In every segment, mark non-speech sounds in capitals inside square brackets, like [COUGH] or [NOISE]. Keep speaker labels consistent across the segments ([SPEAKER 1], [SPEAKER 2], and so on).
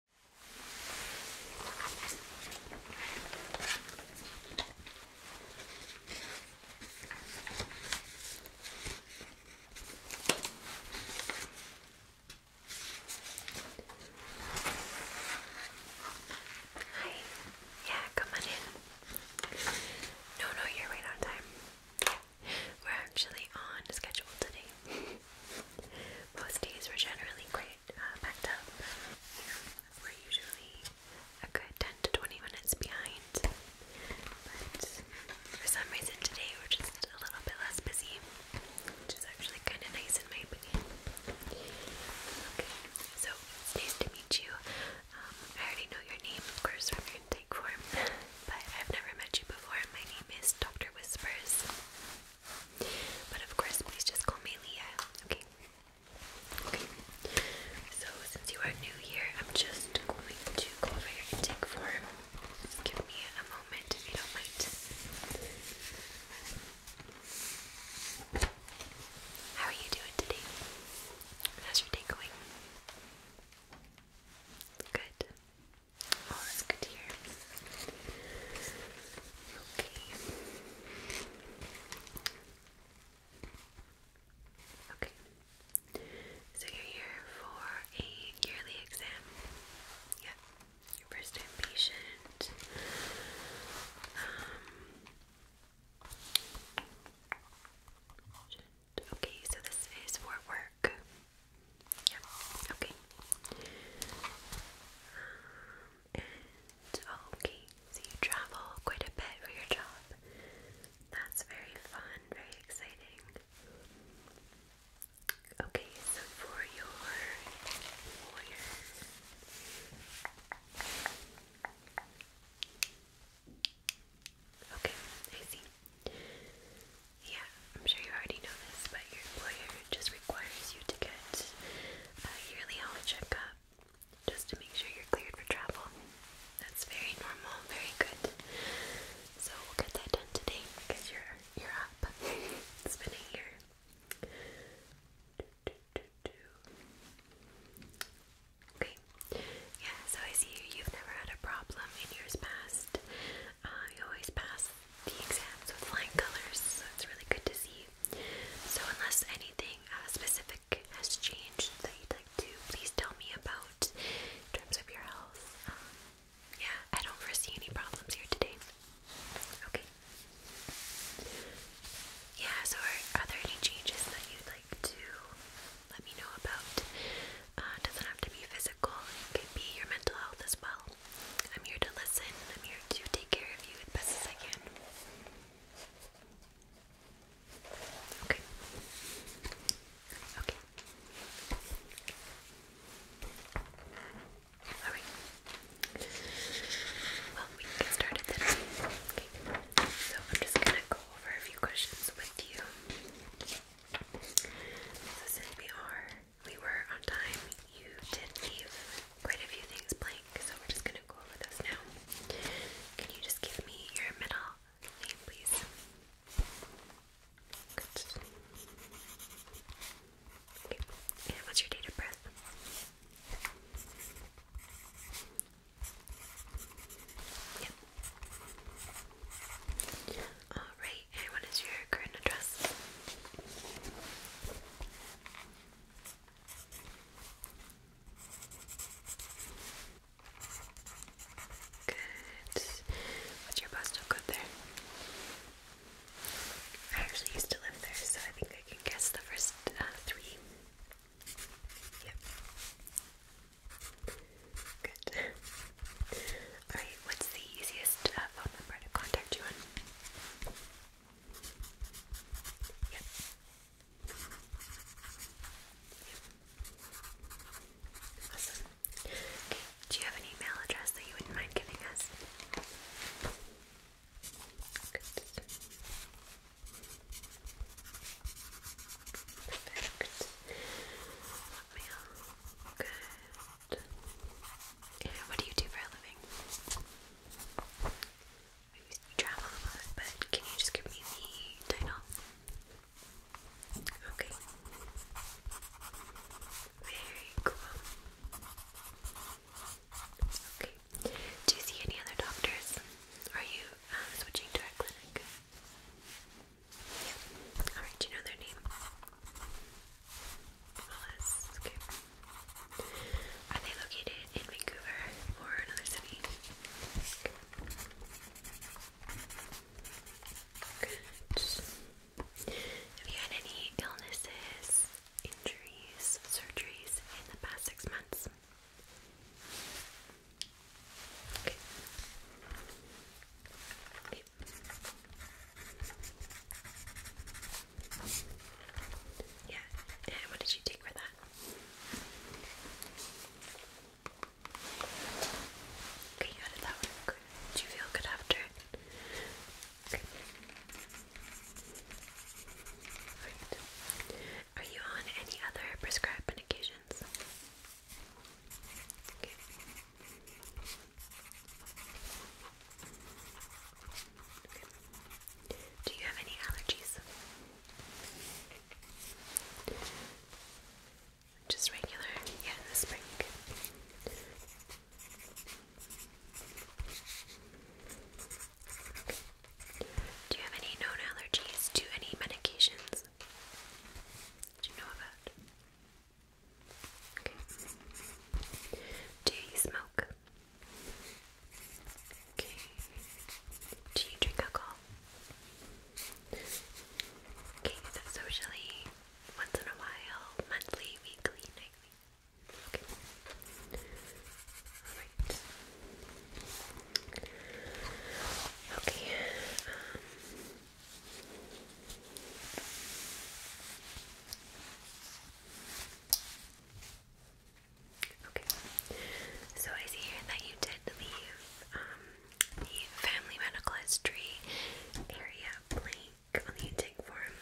[SPEAKER 1] Hi. Yeah, come on in. No, no, you're right on time. We're actually on schedule today. Most days were generally quite uh, packed up. we're usually a good 10 to 20 minutes behind. But for some reason today we're just a little bit less busy, which is actually kind of nice in my opinion. Okay, so nice to meet you. Um, I already know your name, of course, from your intake form, [LAUGHS] but I've never met you before. My name is Dr. Whispers. But of course, please just call me Leah, okay? Okay. So, since you are new here, I'm just going to go over your intake form. give me a moment if you don't mind. How are you doing today? How's your day going? Good. Oh, Okay. Okay. So you're here for a yearly exam. Yeah. Your first patient. Um, okay, so this is for work. Yeah, okay. Um, okay, so you travel quite a bit for your job. That's very fun, very exciting. Okay, so for your lawyer. Okay, I yeah, I'm sure you already know this, but your employer just requires you to get a yearly health checkup just to make sure you're cleared for travel. That's very normal, very good. So we'll get that done today because you're you're up. [LAUGHS] it's been a year. Okay. Yeah, so I see you. You've never had a problem in years past. Uh, you always pass the exams with flying colors, so it's really good to see. So, unless anything uh, specific has changed that you'd like to, please tell me about in terms of your health. Um, yeah, I don't foresee any problems here today. Okay. Yeah, so are, are there any changes that you'd like to let me know about? Uh, doesn't have to be physical, it could be your mental health as well. I'm here to listen. I'm here to take care of you as best as I can. Okay. Okay. Alright. Well, we can get started then. Okay. So I'm just gonna go over a few questions with you. So since we are we were on time. You did leave quite a few things blank, so we're just gonna go over those now. Can you just give me your middle name, please? Okay. And what's your date of birth? Yep. Alright, and what is your current address? Good. What's your postal code there? I actually used to live there, so I think I can guess the first uh, three. Yep. Good. Alright, what's the easiest uh, phone number to contact you on? Yep. Okay, do you have an email address that you wouldn't mind giving us? Good. Perfect. Mail. Good. What do you do for a living? you travel a lot, but can you just give me the title? Okay. Very cool. Okay. Do you see any other doctors? Are you uh, switching to our clinic? Yeah. Alright, do you know their name? MLS. Are they located in Vancouver or another city? Have you had any illnesses, injuries, surgeries in the past six months? Yeah, and what did you take for that? Okay, how did that work? Did you feel good after? Okay. Alright. Are you on any other prescribed medications? Okay. Do you have any allergies? Just regular, yeah, the spring. Do you have any known allergies to any medications? Do you know about? Do you smoke? Okay. Do you drink alcohol? Okay, is socially once in a while, monthly, weekly, nightly? Okay. Alright. Okay. Um, Okay, so I see here that you did leave um, the family medical history area blank on the intake form.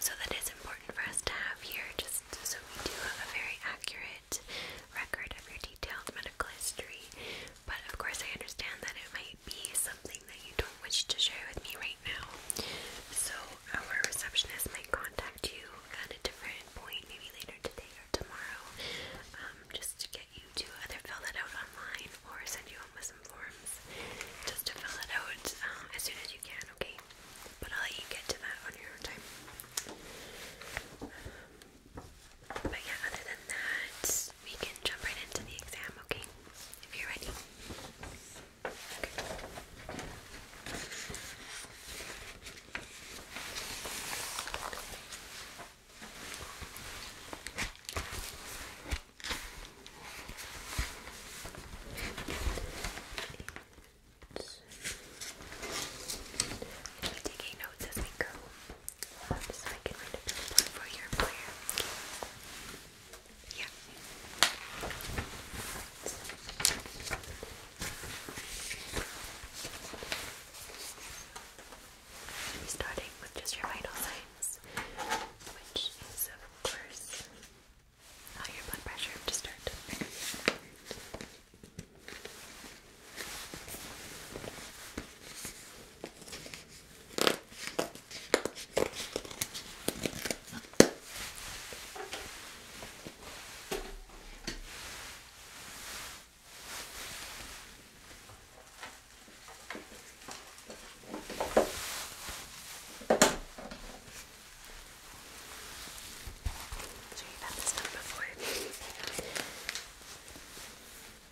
[SPEAKER 1] So that is important for us to have here, just so we do have a very accurate record of your detailed medical history. But of course, I understand that it might might be something that you don't wish to share with me right now. So, our receptionist might contact you at a different point, maybe later today or tomorrow, um, just to get you to either fill that out online or send you home with some forms just to fill it out um, as soon as you can, okay? But I'll let you get to that on your own time. but yeah, other than that, we can jump right into the exam, okay? If you're ready. Okay. taking notes as we go, so I can write a report for your employer. Okay. Yeah. we starting with just your vital signs, which is, of course, your blood pressure to start. So you've had this done before.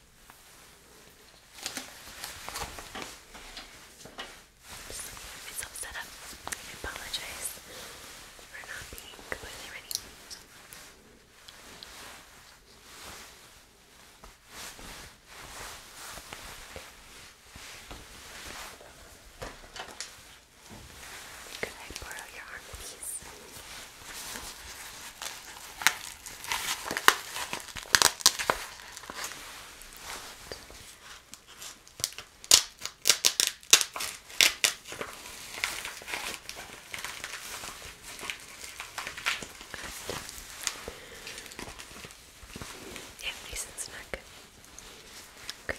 [SPEAKER 1] Just get set up. I apologize for not being completely ready. Could I borrow your arm, please? Yeah, nice and snug. Great. Okay.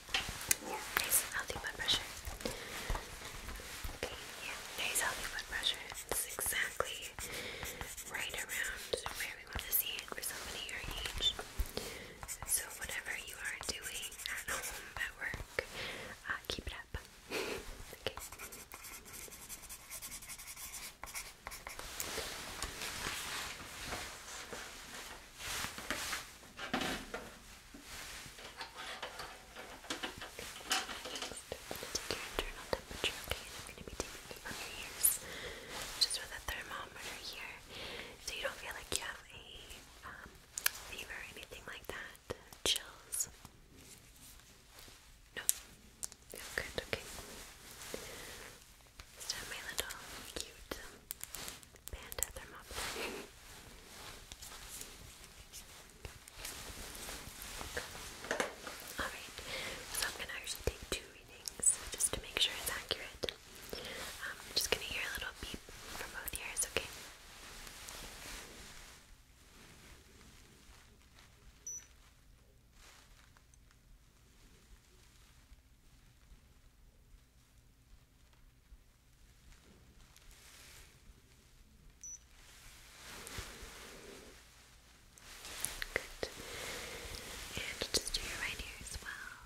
[SPEAKER 1] Yeah, nice healthy blood pressure. Okay, yeah, nice healthy blood pressure. exactly right around where we want to see it for somebody your age. So whatever you are doing at home, at work, uh, keep it up. [LAUGHS] Okay, take your internal temperature, okay? And I'm going to be taking it from your ears, just with a thermometer here, so you don't feel like you have a fever or anything like that. Chills? No. Feel okay? So my little cute Panda thermometer. [LAUGHS] Alright, so I'm gonna actually take two readings just to make sure it's accurate. Um, I'm just gonna hear a little beep from both ears, okay? Okay, Good. And just do your right ear as well.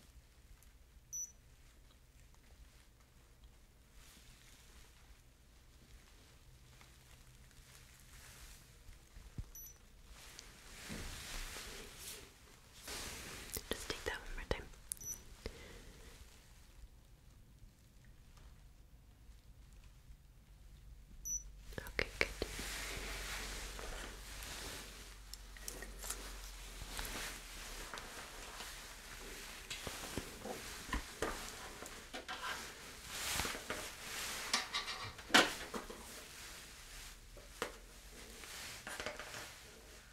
[SPEAKER 1] Good. Just take that one more time. Okay, good.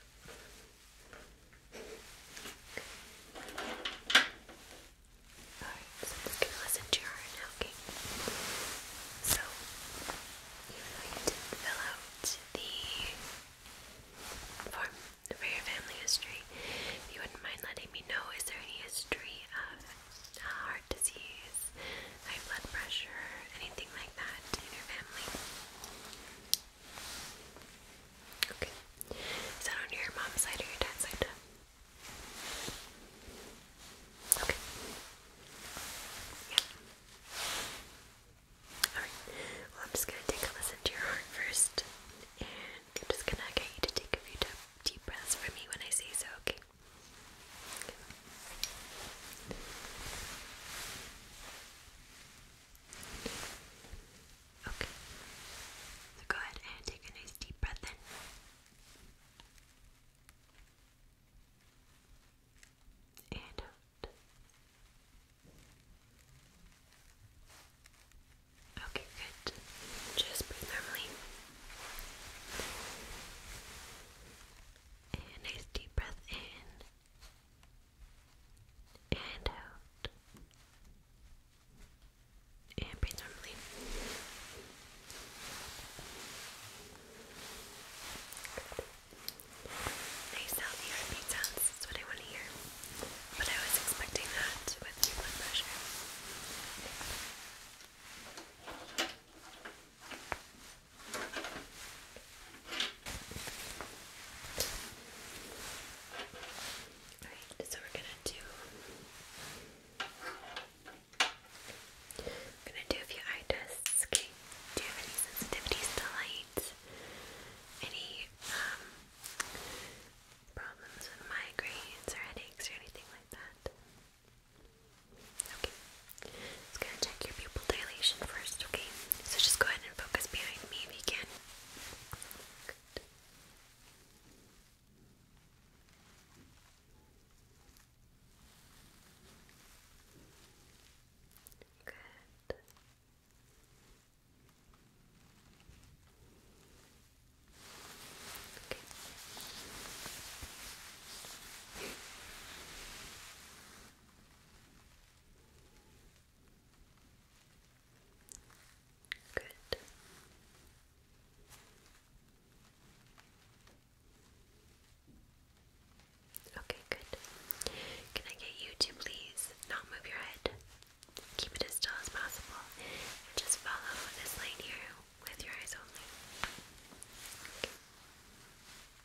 [SPEAKER 1] Alright, so I'm listen to your now, okay? So, even though you did fill out the form for your family history, if you wouldn't mind letting me know, is there any history of uh, heart disease, high blood pressure, anything like that in your family? Okay. Is that on your mom's side or your dad's side? Okay. Yeah. Alright. Well, I'm just gonna take a listen to your heart first. And I'm just gonna get you to take a few deep breaths for me when I say so, Okay. Okay. So go ahead and take a nice deep breath in. And out. Okay, good. Just breathe normally. nice deep breath in and out. And breathe normally. Nice healthy heartbeat sounds is what I want to hear. But I was expecting that with blood pressure. Alright, so we're gonna do I'm gonna do a few eye tests, okay? Do you have any sensitivities to light? Any um, problems with migraines or headaches or anything like that? Okay. It's gonna check your pupil dilation first, okay? So just go ahead and focus behind me if you can. Good. Okay. Good. Okay, good. Can I get you to please not move your head? Keep it as still as possible. just follow this line here with your eyes only.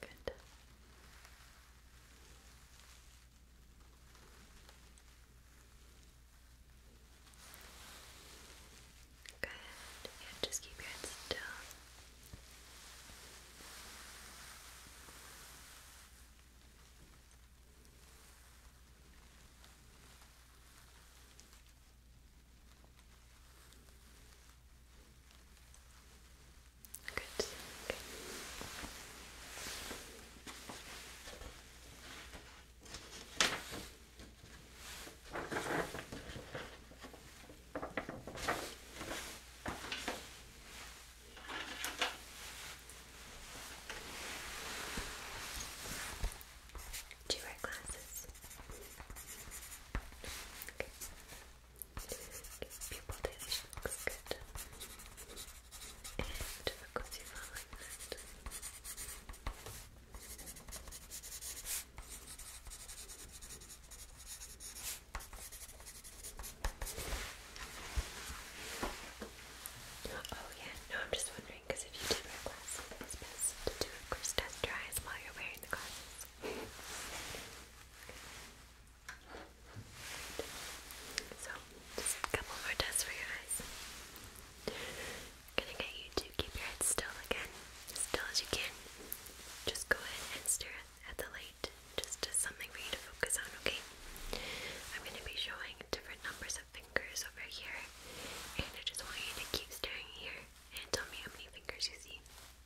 [SPEAKER 1] Good. Good. just keep your head still. Do you wear glasses? Okay pupil you Oh yeah, no, I'm just wondering because if you did wear glasses, it's best to do, of course, test your while you're wearing the glasses. So, just a couple more tests for your eyes. I'm gonna get you to keep your head still again, still as you can. Just go ahead and stare at the light, just as something for you to focus on, okay? I'm gonna be showing different numbers of fingers over here, and I just want you to keep staring here and tell me how many fingers you see.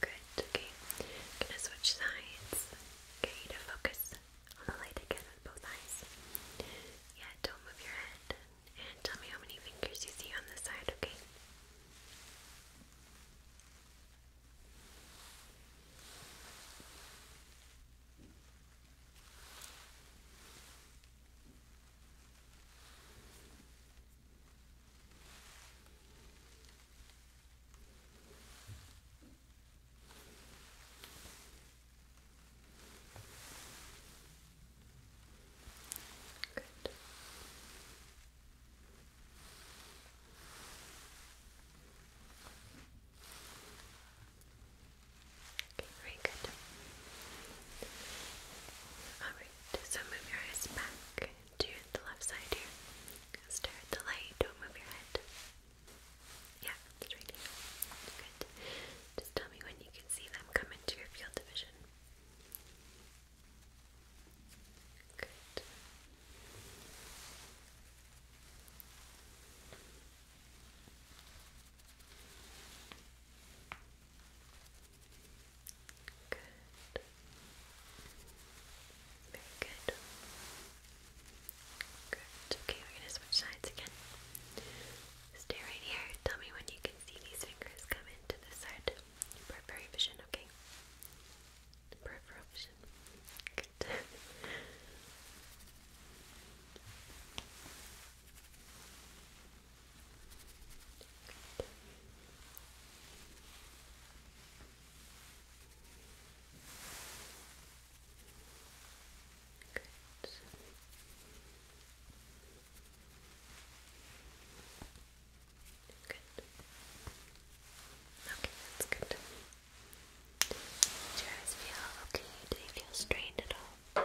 [SPEAKER 1] Good, okay. Gonna switch sides. Okay, you focus on the light again with both eyes. Yeah, don't move your head. And tell me how many fingers you see on this side, okay? Good. Okay, very good. I Good. move your eyes back to the left side here. Stare at the light. Don't move your head. Yeah, it's right Good. Just tell me when you can see them come into your field of vision. Good. Good. Very good. Good. Okay, we're gonna switch sides again. Stay right here. Tell me when you can see these fingers come into this side. Peripheral vision, okay? Peripheral vision. Good. [LAUGHS] Good. Good. Okay, that's good. Do your eyes feel okay? Do they feel strained at all?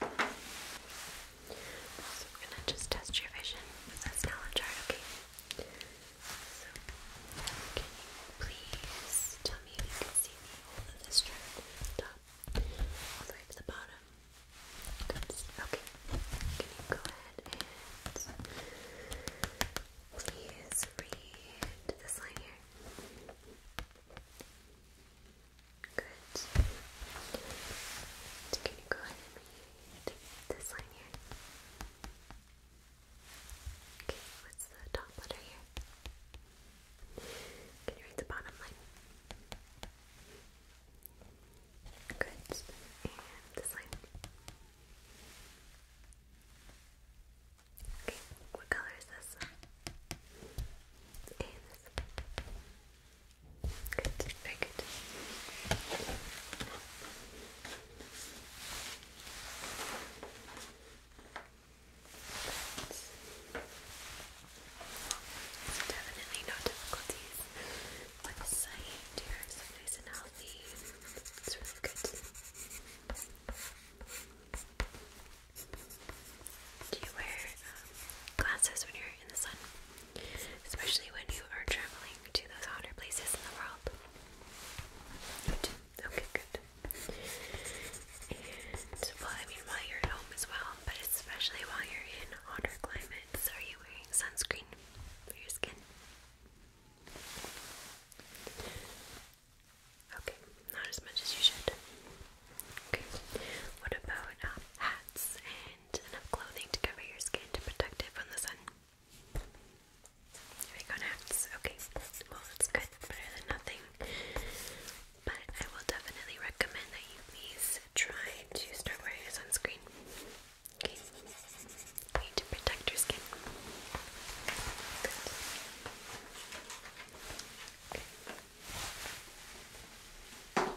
[SPEAKER 1] So we're gonna just test your vision with knowledge art, okay? So can you please tell me if you can see the of this chart from the top all to the bottom? Okay. Can you go ahead and please read this line here? Good. can you go ahead and read this line here? Okay, what's the top letter here? Can you read the bottom line? Good. And this line. Okay, what color is this? And this. Good, very good. definitely no difficulties with sight. Your nice and healthy. It's really good. Do you wear glasses when you're in the sun? Especially when you are traveling to those hotter places in the world? Okay, good. well, I mean, while you're at home as well, but especially while you're in hotter climates, are you wearing sunscreen for your skin? Okay not as much as you should. Okay. What about um, hats and enough clothing to cover your skin to protect it from the sun? There we go, hats. Okay. Well, that's good. Better than nothing. But I will definitely recommend that you please try to start wearing sunscreen. Okay. to protect your skin. Good. Okay. Alright,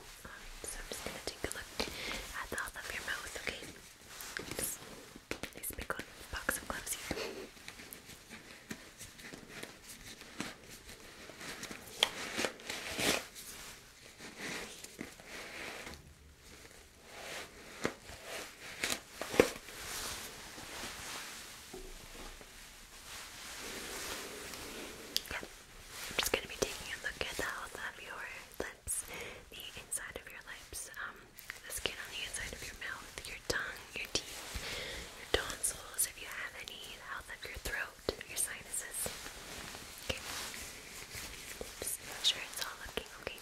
[SPEAKER 1] so I'm just gonna take a look at the health of your mouth, okay? Just nice big box of gloves here. Okay, I'm just gonna be taking a look at the health of your lips, the inside of your lips, um, the skin on the inside of your mouth, your tongue, your teeth, your tonsils, if you have any, the health of your throat, your sinuses. Okay. Just make sure it's all looking Okay.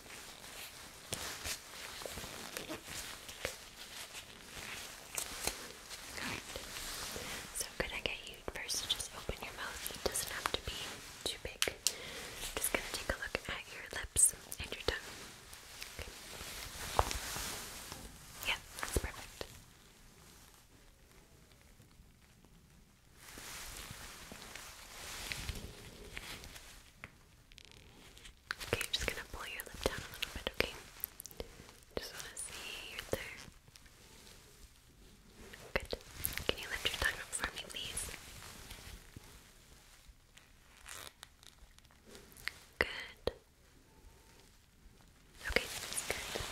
[SPEAKER 1] Alright. So could I get you first just open your mouth? doesn't have to be too big. just gonna take a look at your lips and your tongue. Okay. perfect. Okay, just gonna pull your lip down a little bit, okay? Just wanna see right there. Good. Can you lift your tongue up for me, please? Good. Okay, good.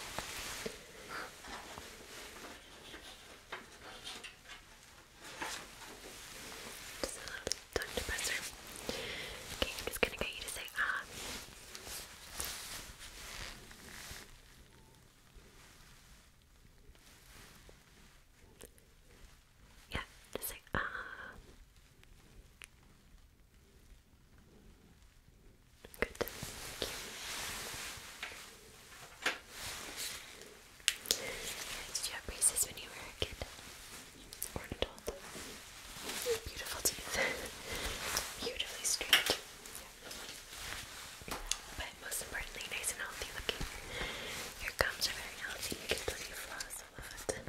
[SPEAKER 1] Just a little tongue depressor. Okay, I'm just gonna get you to say ah. Yeah, just say ah. Good. Did you have braces when you were a kid? Or an adult? Beautiful teeth. [LAUGHS] Beautifully straight. But most importantly, nice and healthy looking. Your gums are very healthy. You can play floss a lot. good.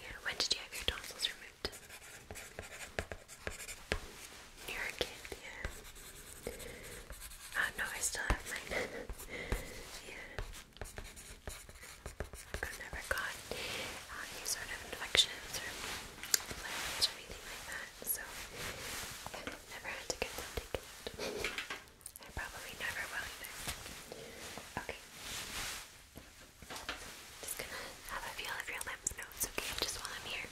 [SPEAKER 1] Yeah, when did you have your tonsils removed? You're a kid, yeah. Oh no, I still have mine. [LAUGHS] yeah. I've never got uh, any sort of infections or anything like that, so I've never had to get them taken I probably never will either. Okay. Just gonna have a feel of your lymph nodes, okay? Just while I'm here.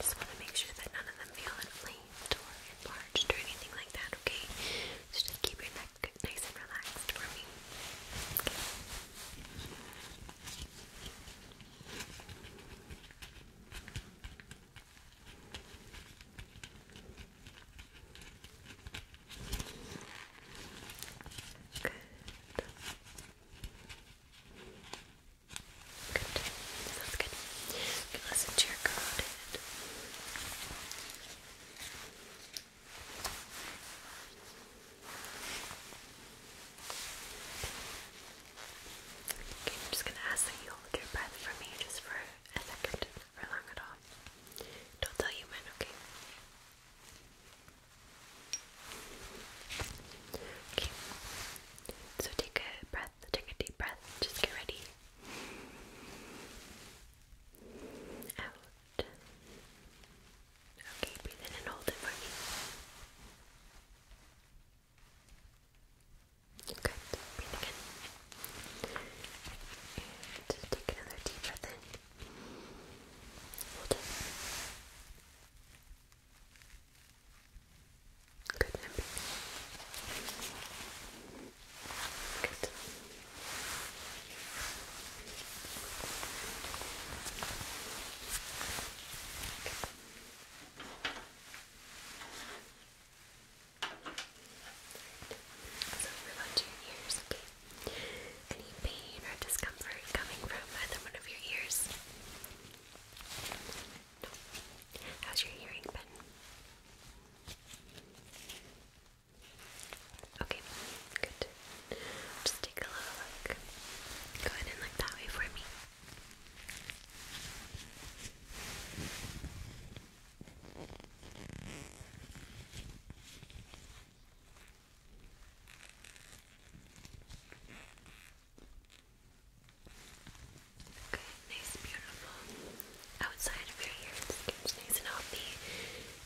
[SPEAKER 1] Just wanna make sure that none of them feel inflamed or enlarged or anything like that, okay? So just keep your neck nice and relaxed for me. Okay. Okay. Good. Good. Sounds good. You can listen to your code. Okay, I'm just going to ask that you hold your breath for me just for a second, for long at all. Don't tell you when, okay? Okay, so take a breath, take a deep breath, just get ready. Out. Okay, breathe in and hold it for Good. Breathe And take another deep breath in. Hold Good. Good. Okay. So move on to your okay? Any pain or discomfort coming from either one of your ears? No. How's your hearing been? Okay, good. Just take a little look. Go ahead and look that way for me. Good, nice, beautiful. Outside of your ear, the skin's nice and healthy.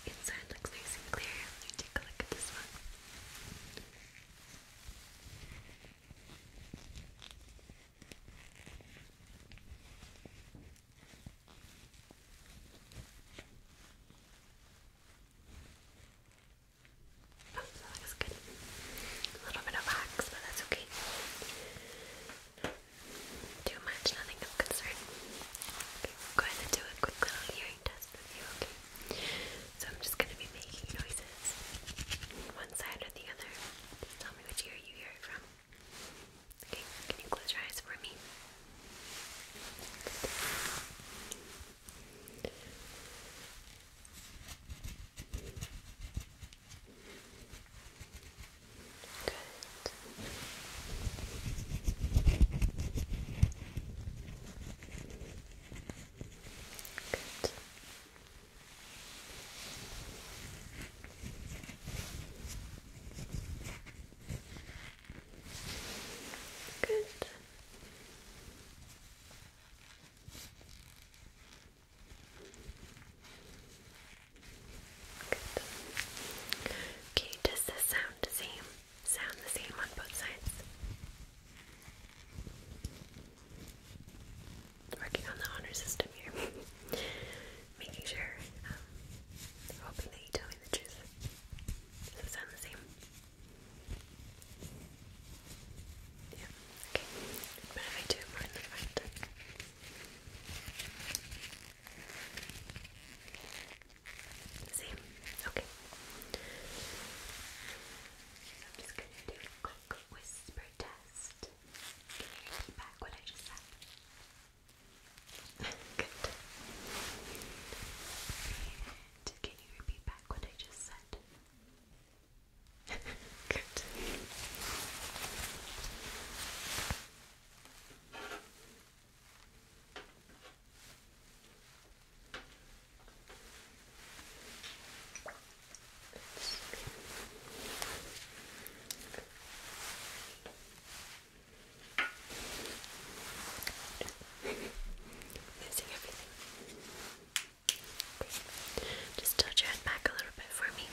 [SPEAKER 1] Inside looks nice and clear. Let me take a look at this one. Oh, that was good. A little bit of wax, but that's okay. Too much, nothing of concern. Okay, we do a quick little hearing test with you, okay? So I'm just going to be making noises, one side or the other. Please tell me which ear you hear it from. Okay, can you close your eyes for me? Good. Good. Good. Good. Okay, does this sound the same? Sound the same on both sides? working on the honor system here, [LAUGHS] making sure, um, hoping that you tell me the truth. Does it sound the same? Yeah, okay. But if I do more in the Same? Okay. I'm just gonna do quick whisper test. Can you repeat back what I just said? [LAUGHS] Good. can you repeat back what I just said? [LAUGHS] Good. Missing everything. Just tilt your head back a little bit for me.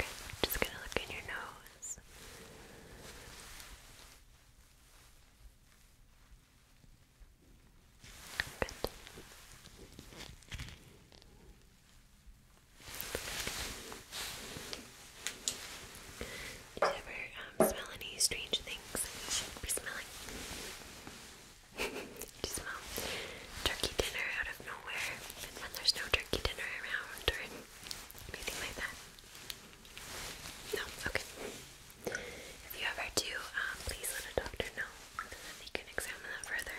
[SPEAKER 1] Okay, just gonna look in your nose. Good. you ever um, smell any strange things smelling? [LAUGHS] Do smell turkey dinner out of nowhere? when there's no turkey dinner around or anything like that? No? Okay. If you ever do, uh, please let a doctor know they can examine that further.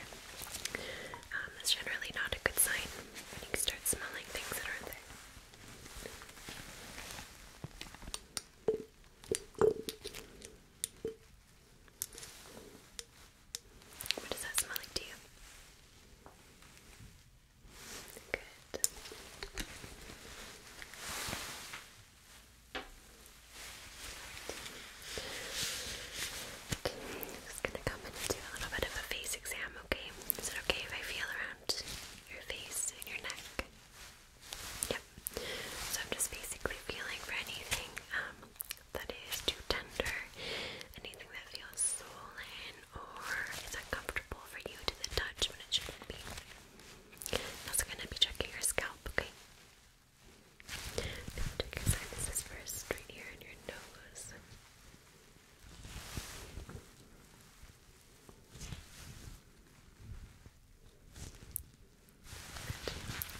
[SPEAKER 1] Um, that's generally not a good sign when you start smelling things that aren't there. What does that smell like to you? Good. Okay, I'm just gonna come and do a little bit of a face exam, okay? Is it okay if I feel around your face and your neck? Yep. So I'm just basically feeling for anything um, that is too tender, anything that feels swollen or is uncomfortable for you to the touch when it shouldn't be. also gonna be checking your scalp, okay? Now take your sinuses first, right here in your nose.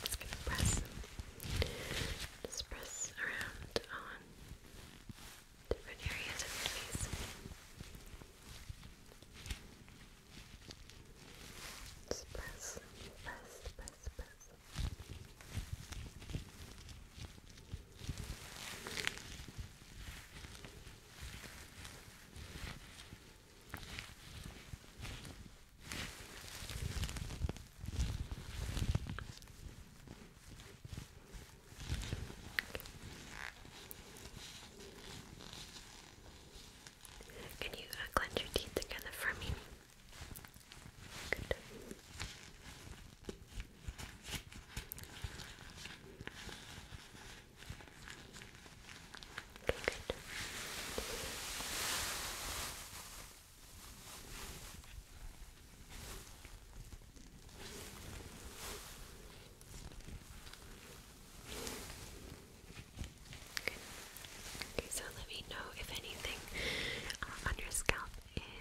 [SPEAKER 1] Just gonna press. Just press around on different areas of your face. Just press, press, press, press. Okay. Can you uh, your teeth together for me? Okay, good. Okay, so let me know if anything uh, on your scalp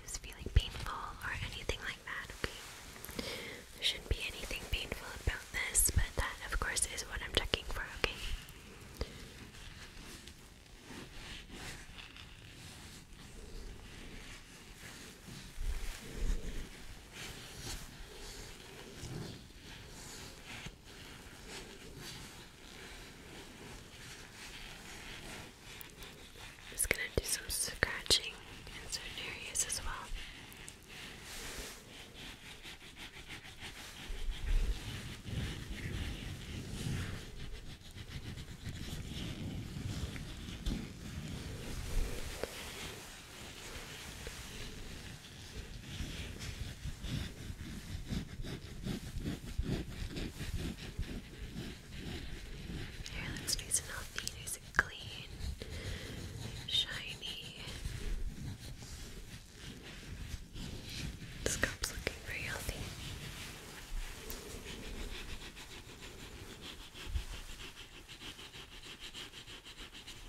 [SPEAKER 1] is feeling painful or anything like that, okay? There shouldn't be anything painful about this, but that, of course, is what I'm checking for, okay? Just gonna do some scratching in certain areas as well. Hair looks nice and healthy, nice and clean, shiny. scalp's looking very healthy.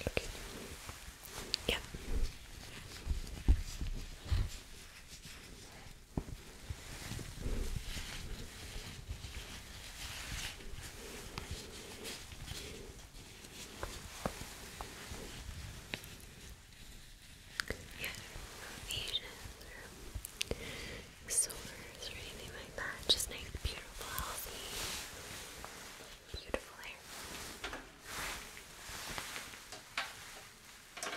[SPEAKER 1] Okay. Yeah. Yeah, sores or anything like that. Just nice, beautiful, healthy, beautiful hair. Could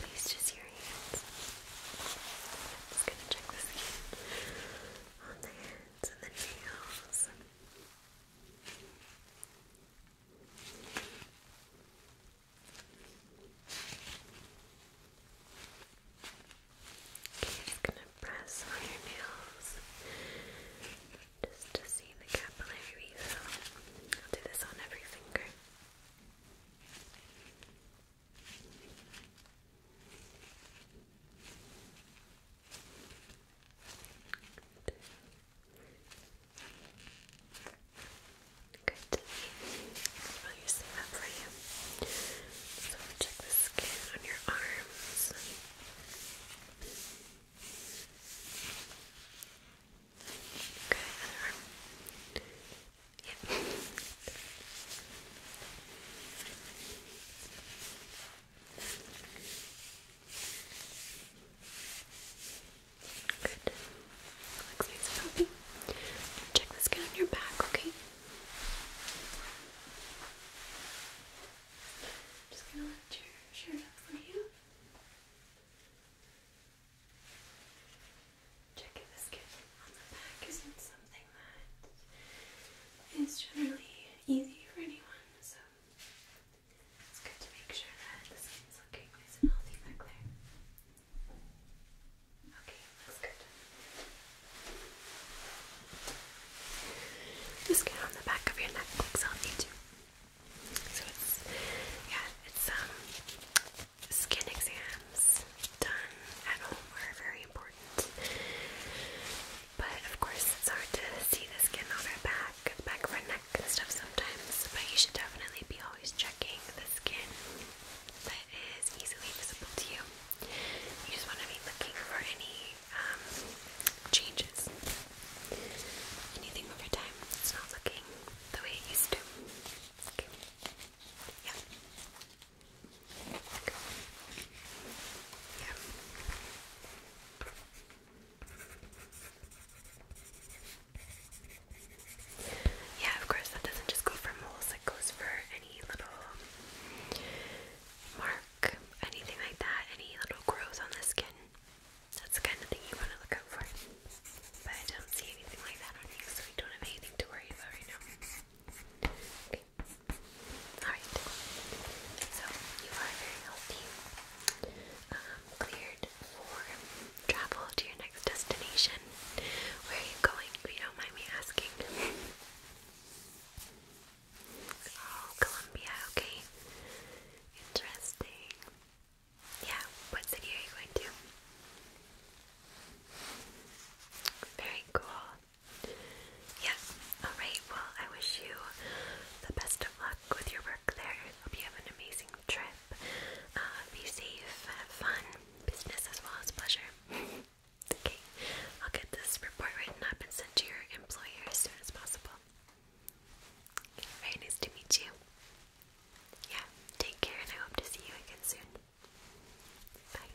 [SPEAKER 1] please just your hands? I'm just gonna check this again on the hands and the nails just gonna press on your nails just to see the capillary I'll do this on every finger. Good. I'll use the map for you. So check the skin on your arms. Okay, Good. Looks nice and healthy. Check this skin on your back, okay? Just gonna let your shirt up for you. Checking the skin on the back isn't something that is generally easy for anyone, so it's good to make sure that the skin's looking nice and healthy back there. Okay, looks good. The skin on the back of your neck looks healthy too. So it's yeah, it's um skin exams done at home are very important. But of course it's hard to see the skin on our back, back of our neck stuff sometimes, but you should definitely be always checking the skin that is easily visible to you. You just want to be looking for any um, changes. Anything over time that's not looking the way it used to. Okay. Yeah. Okay. Yeah. Yeah, of course, that doesn't just go for moles, it goes for any little mark, anything like that, any little growth on the skin. That's the kind of thing you want to look out for. But I don't see anything like that on you, so we don't have anything to worry about right now. Alright. So, you are very healthy. Um, cleared for travel to your next destination. Where are you going, if you don't mind me asking? Oh, Colombia, okay. Interesting. Yeah, what city are you going to? Very cool. Yeah, alright, well, I wish you the best of luck with your birthday work there. Hope you have an amazing trip. Uh, be safe, have fun, business as well as pleasure. [LAUGHS] okay, I'll get this report written up and sent to your employer as soon as possible. very nice to meet you. Yeah, take care, and I hope to see you again soon. Bye.